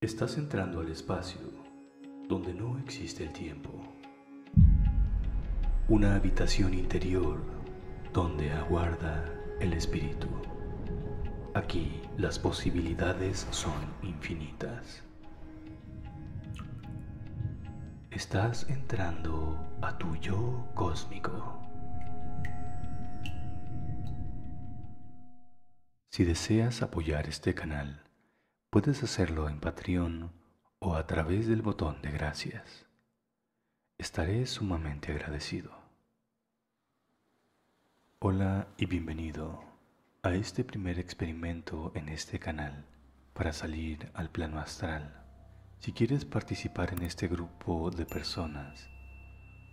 Estás entrando al espacio donde no existe el tiempo. Una habitación interior donde aguarda el espíritu. Aquí las posibilidades son infinitas. Estás entrando a tu yo cósmico. Si deseas apoyar este canal, puedes hacerlo en Patreon o a través del botón de gracias. Estaré sumamente agradecido. Hola y bienvenido a este primer experimento en este canal para salir al plano astral. Si quieres participar en este grupo de personas,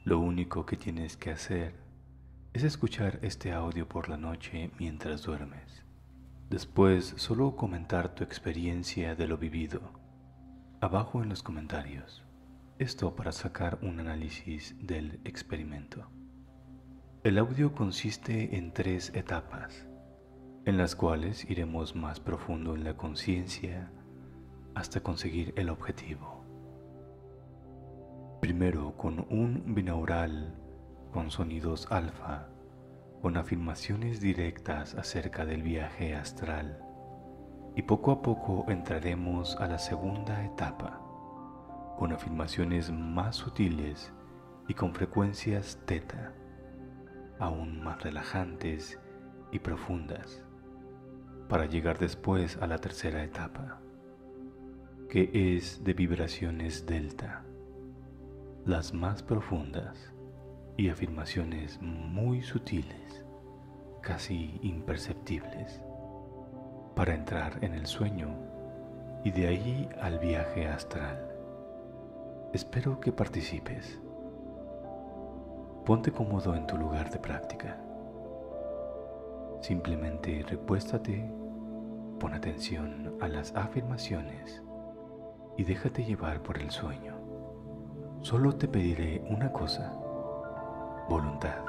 lo único que tienes que hacer es escuchar este audio por la noche mientras duermes. Después solo comentar tu experiencia de lo vivido. Abajo en los comentarios. Esto para sacar un análisis del experimento. El audio consiste en tres etapas, en las cuales iremos más profundo en la conciencia hasta conseguir el objetivo. Primero con un binaural con sonidos alfa, con afirmaciones directas acerca del viaje astral. Y poco a poco entraremos a la segunda etapa, con afirmaciones más sutiles y con frecuencias teta, aún más relajantes y profundas, para llegar después a la tercera etapa que es de vibraciones delta, las más profundas y afirmaciones muy sutiles, casi imperceptibles, para entrar en el sueño y de ahí al viaje astral. Espero que participes. Ponte cómodo en tu lugar de práctica. Simplemente repuéstate, pon atención a las afirmaciones y déjate llevar por el sueño. Solo te pediré una cosa, voluntad.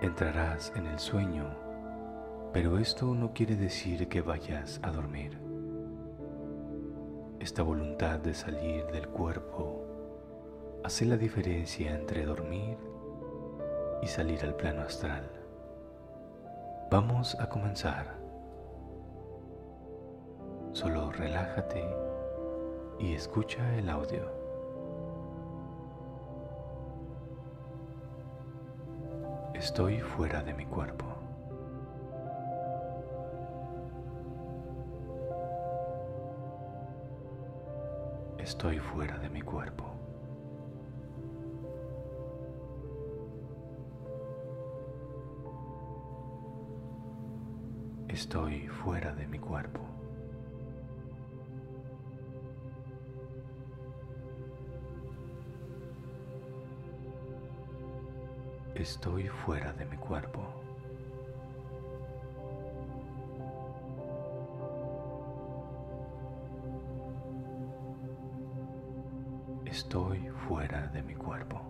Entrarás en el sueño, pero esto no quiere decir que vayas a dormir. Esta voluntad de salir del cuerpo Hace la diferencia entre dormir y salir al plano astral. Vamos a comenzar. Solo relájate y escucha el audio. Estoy fuera de mi cuerpo. Estoy fuera de mi cuerpo. Estoy fuera de mi cuerpo. Estoy fuera de mi cuerpo. Estoy fuera de mi cuerpo.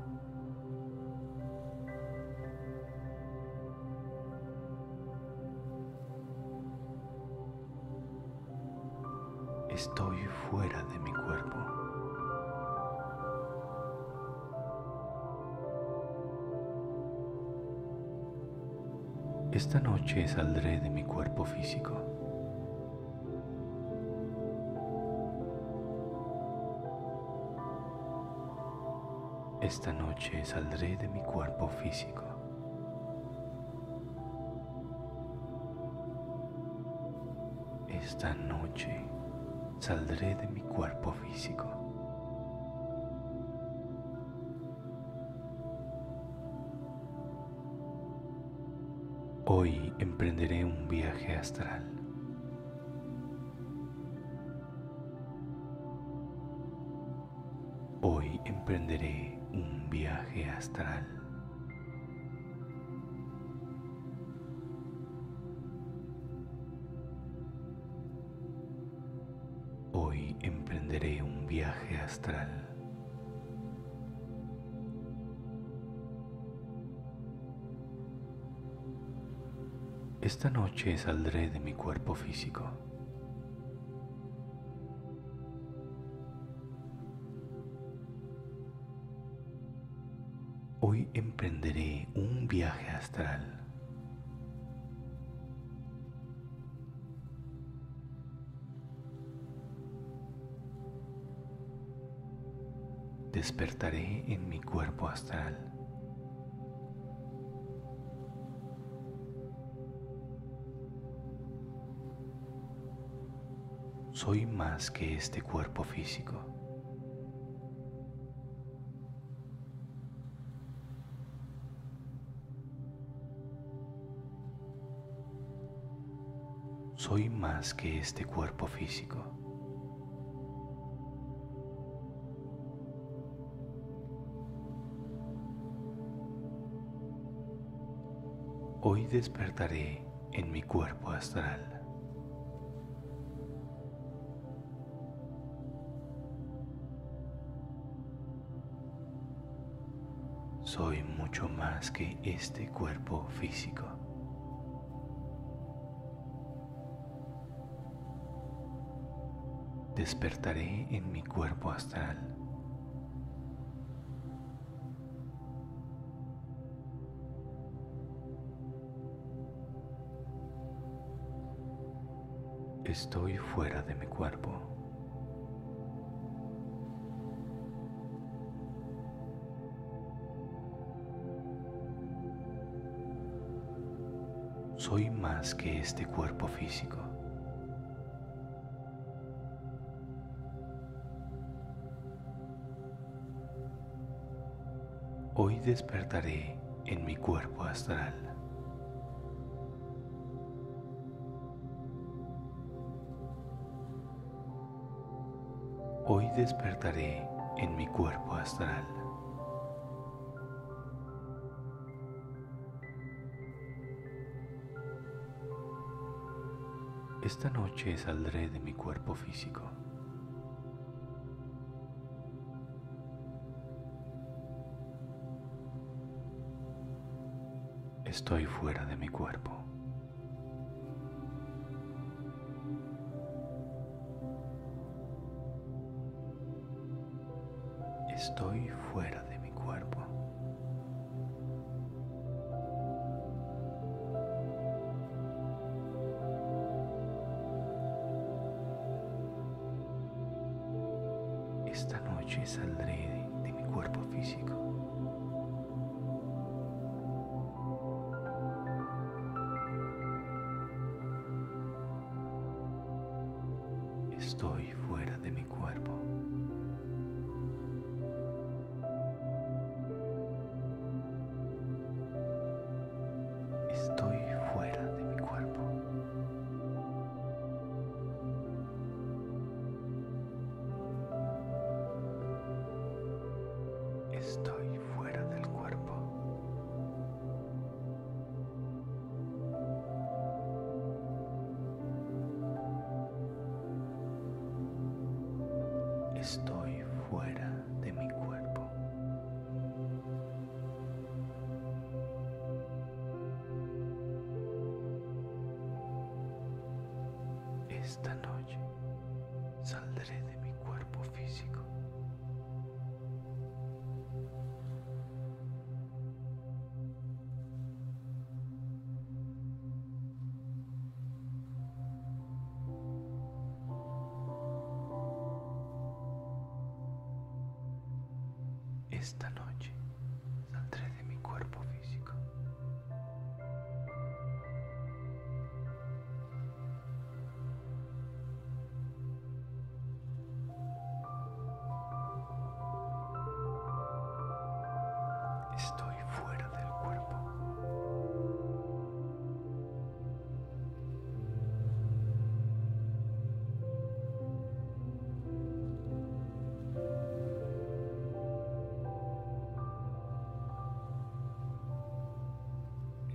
Estoy fuera de mi cuerpo. Esta noche saldré de mi cuerpo físico. Esta noche saldré de mi cuerpo físico. Esta noche saldré de mi cuerpo físico. Hoy emprenderé un viaje astral. Hoy emprenderé un viaje astral. Hoy emprenderé un viaje astral. Esta noche saldré de mi cuerpo físico. Hoy emprenderé un viaje astral. Despertaré en mi cuerpo astral. Soy más que este cuerpo físico. Soy más que este cuerpo físico. Hoy despertaré en mi cuerpo astral. Soy mucho más que este cuerpo físico. Despertaré en mi cuerpo astral. Estoy fuera de mi cuerpo. Soy más que este cuerpo físico. Hoy despertaré en mi cuerpo astral. Hoy despertaré en mi cuerpo astral. Esta noche saldré de mi cuerpo físico. Estoy fuera de mi cuerpo. Estoy fuera de mi cuerpo. Esta noche saldré de, mi cuerpo físico. Estoy fuera de mi cuerpo. Estoy fuera de mi cuerpo. Estoy fuera del cuerpo. Estoy fuera de mi cuerpo. Esta noche saldré de mi cuerpo físico. Esta noche saldré de mi cuerpo físico. Estoy fuera del cuerpo.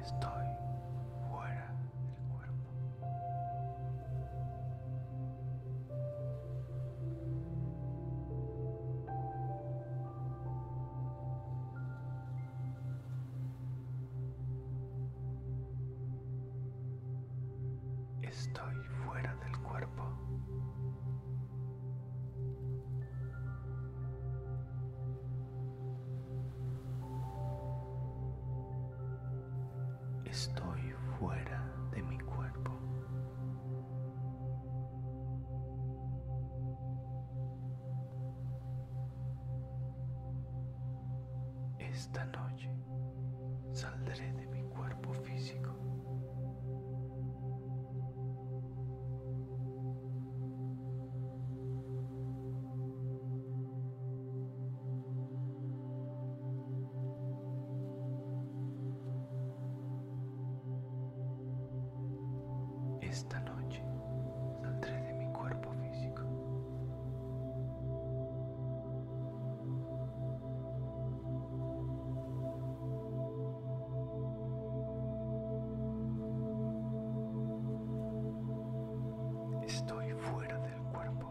Estoy fuera del cuerpo. Estoy fuera del cuerpo. Estoy fuera de mi cuerpo. Esta noche saldré de mi cuerpo físico. Esta noche saldré de mi cuerpo físico. Estoy fuera del cuerpo.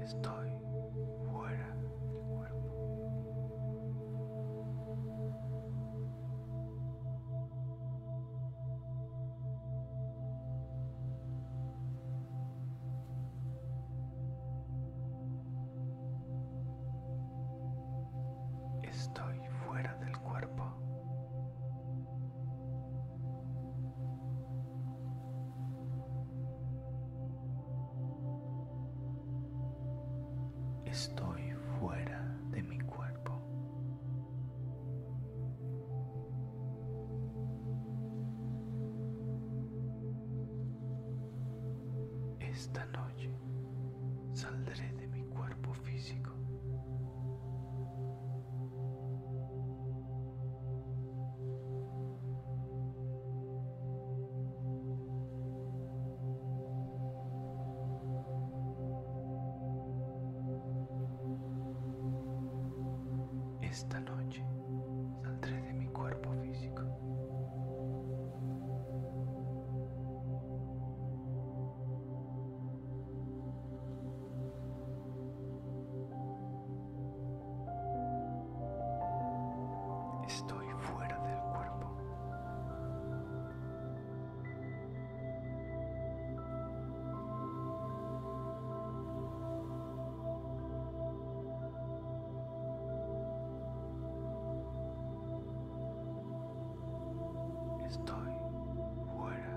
Estoy fuera del cuerpo. Estoy fuera del cuerpo. Estoy fuera de mi cuerpo. Esta noche saldré de mi cuerpo físico. Esta noche saldré de mi cuerpo físico. Estoy fuera del cuerpo. Estoy fuera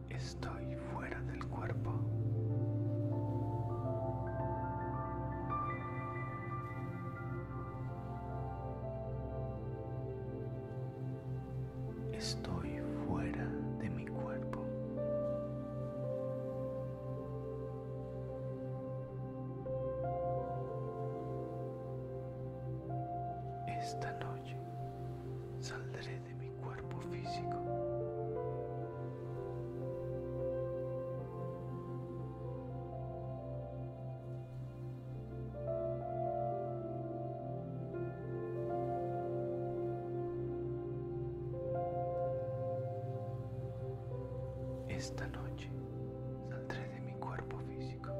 Estoy fuera del cuerpo. Estoy fuera de mi cuerpo. Esta noche saldré de mi cuerpo físico. Esta noche saldré de mi cuerpo físico.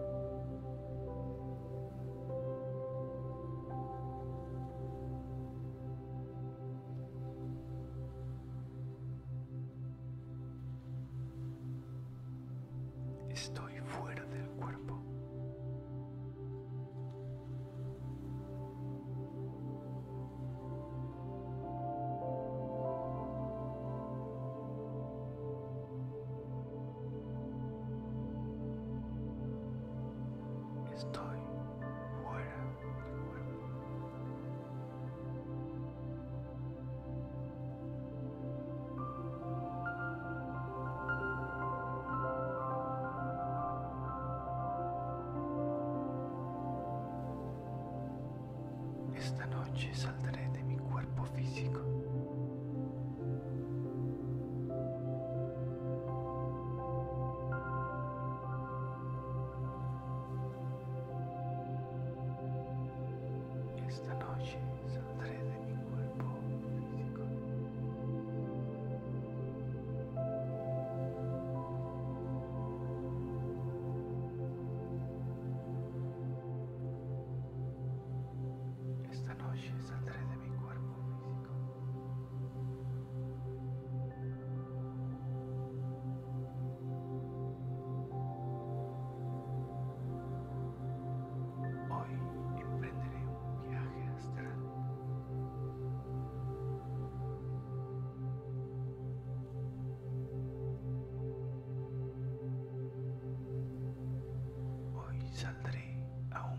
Estoy fuera del cuerpo. Estoy fuera del cuerpo. Esta noche saldré de mi cuerpo físico. Esta noche saldré de mi cuerpo físico. Esta noche saldré de mi cuerpo físico. Hoy emprenderé un viaje astral. Hoy saldré a un...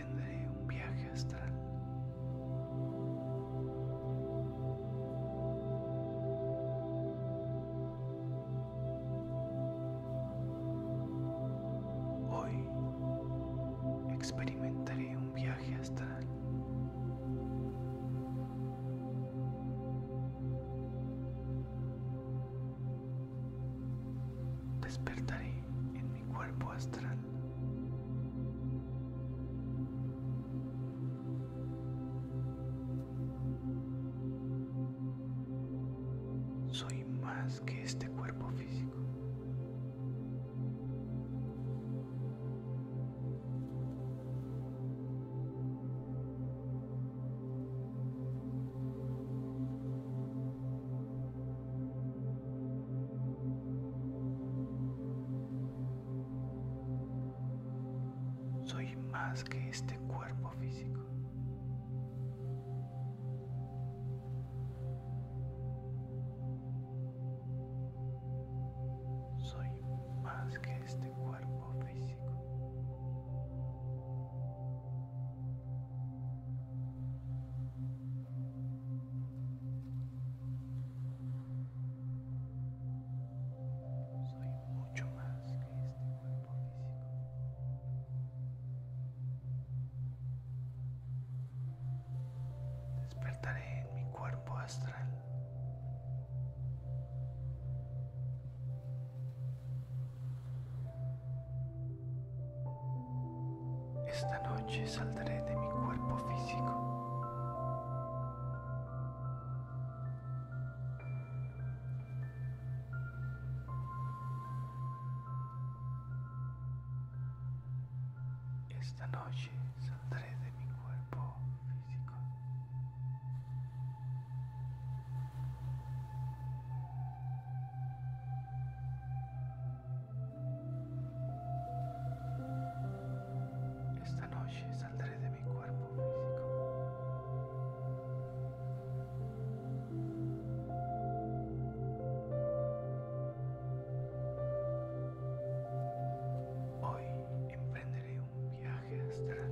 tendré un viaje astral. Hoy experimentaré un viaje astral despertaré en mi cuerpo astral. Soy más que este cuerpo físico. Soy más que este cuerpo físico. Soy más que este cuerpo físico. Soy mucho más que este cuerpo físico, despertaré en mi cuerpo astral. Esta noche saldré de mi cuerpo físico. Esta noche saldré de mi cuerpo físico. Esta noche saldré de mi cuerpo físico. Hoy emprenderé un viaje astral.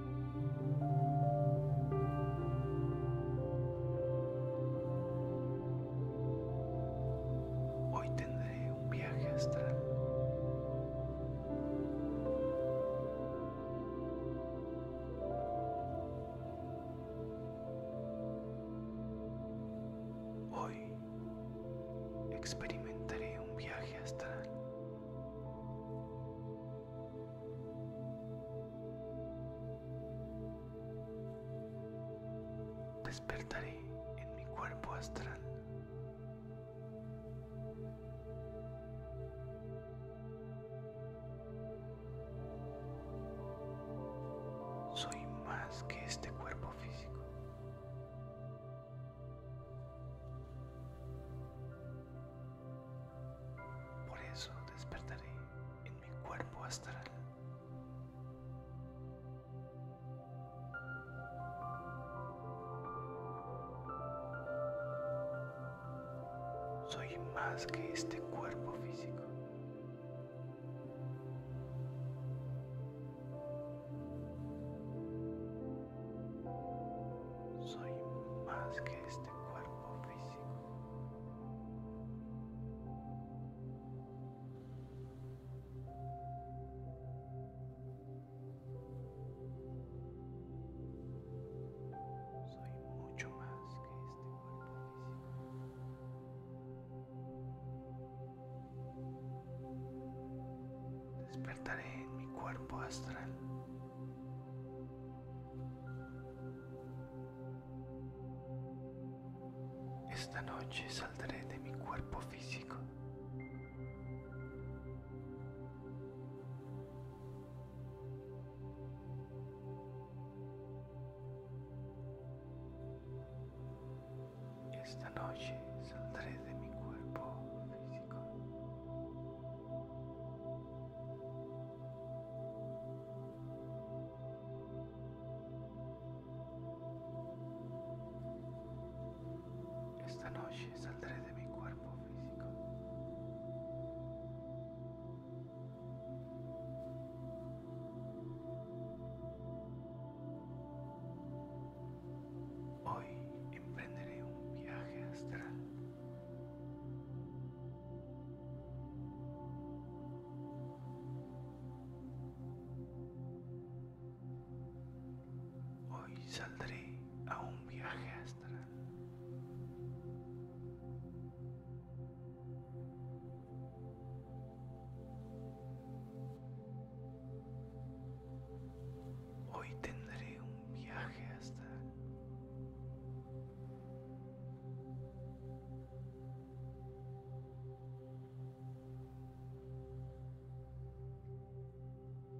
Hoy tendré un viaje astral. Hoy experimentaré un viaje astral. Despertaré en mi cuerpo astral. Soy más que este cuerpo físico. Por eso despertaré en mi cuerpo astral. Soy más que este cuerpo físico. Soy más que este cuerpo físico. Soy mucho más que este cuerpo físico, despertaré en mi cuerpo astral. Esta noche saldré de mi cuerpo físico. Esta noche saldré de mi cuerpo físico. Esta noche saldré de mi cuerpo físico. Hoy emprenderé un viaje astral. Hoy saldré a un viaje astral. Hoy tendré un viaje astral.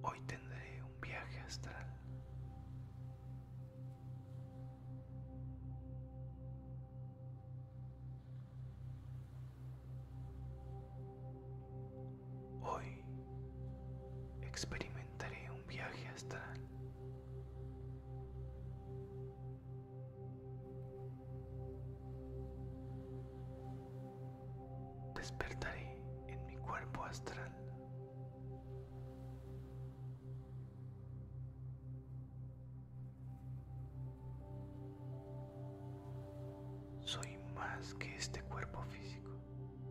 Hoy tendré un viaje astral. Hoy experimentaré un viaje astral. Despertaré en mi cuerpo astral. Soy más que este cuerpo físico.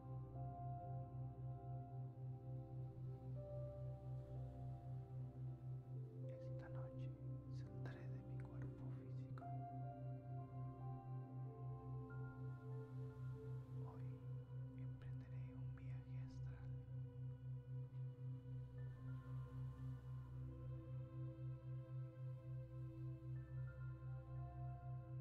Esta noche saldré de mi cuerpo físico. Hoy emprenderé un viaje astral.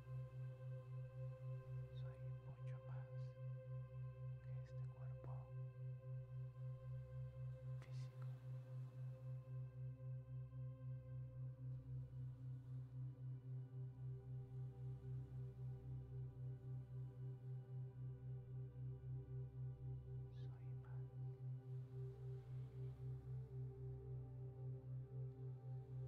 Soy mucho más que este cuerpo físico. Soy más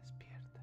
Despierta.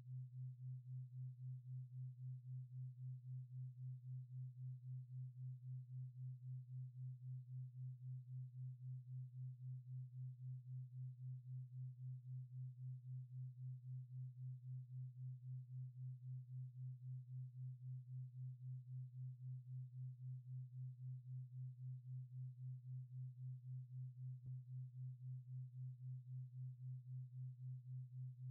desde su concepción, The Onion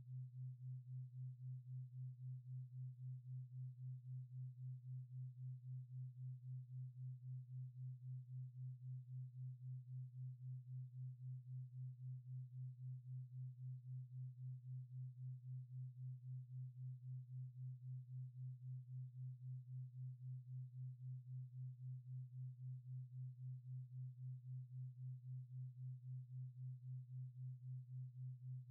desde su concepción, The Onion por el por ejemplo, el grupo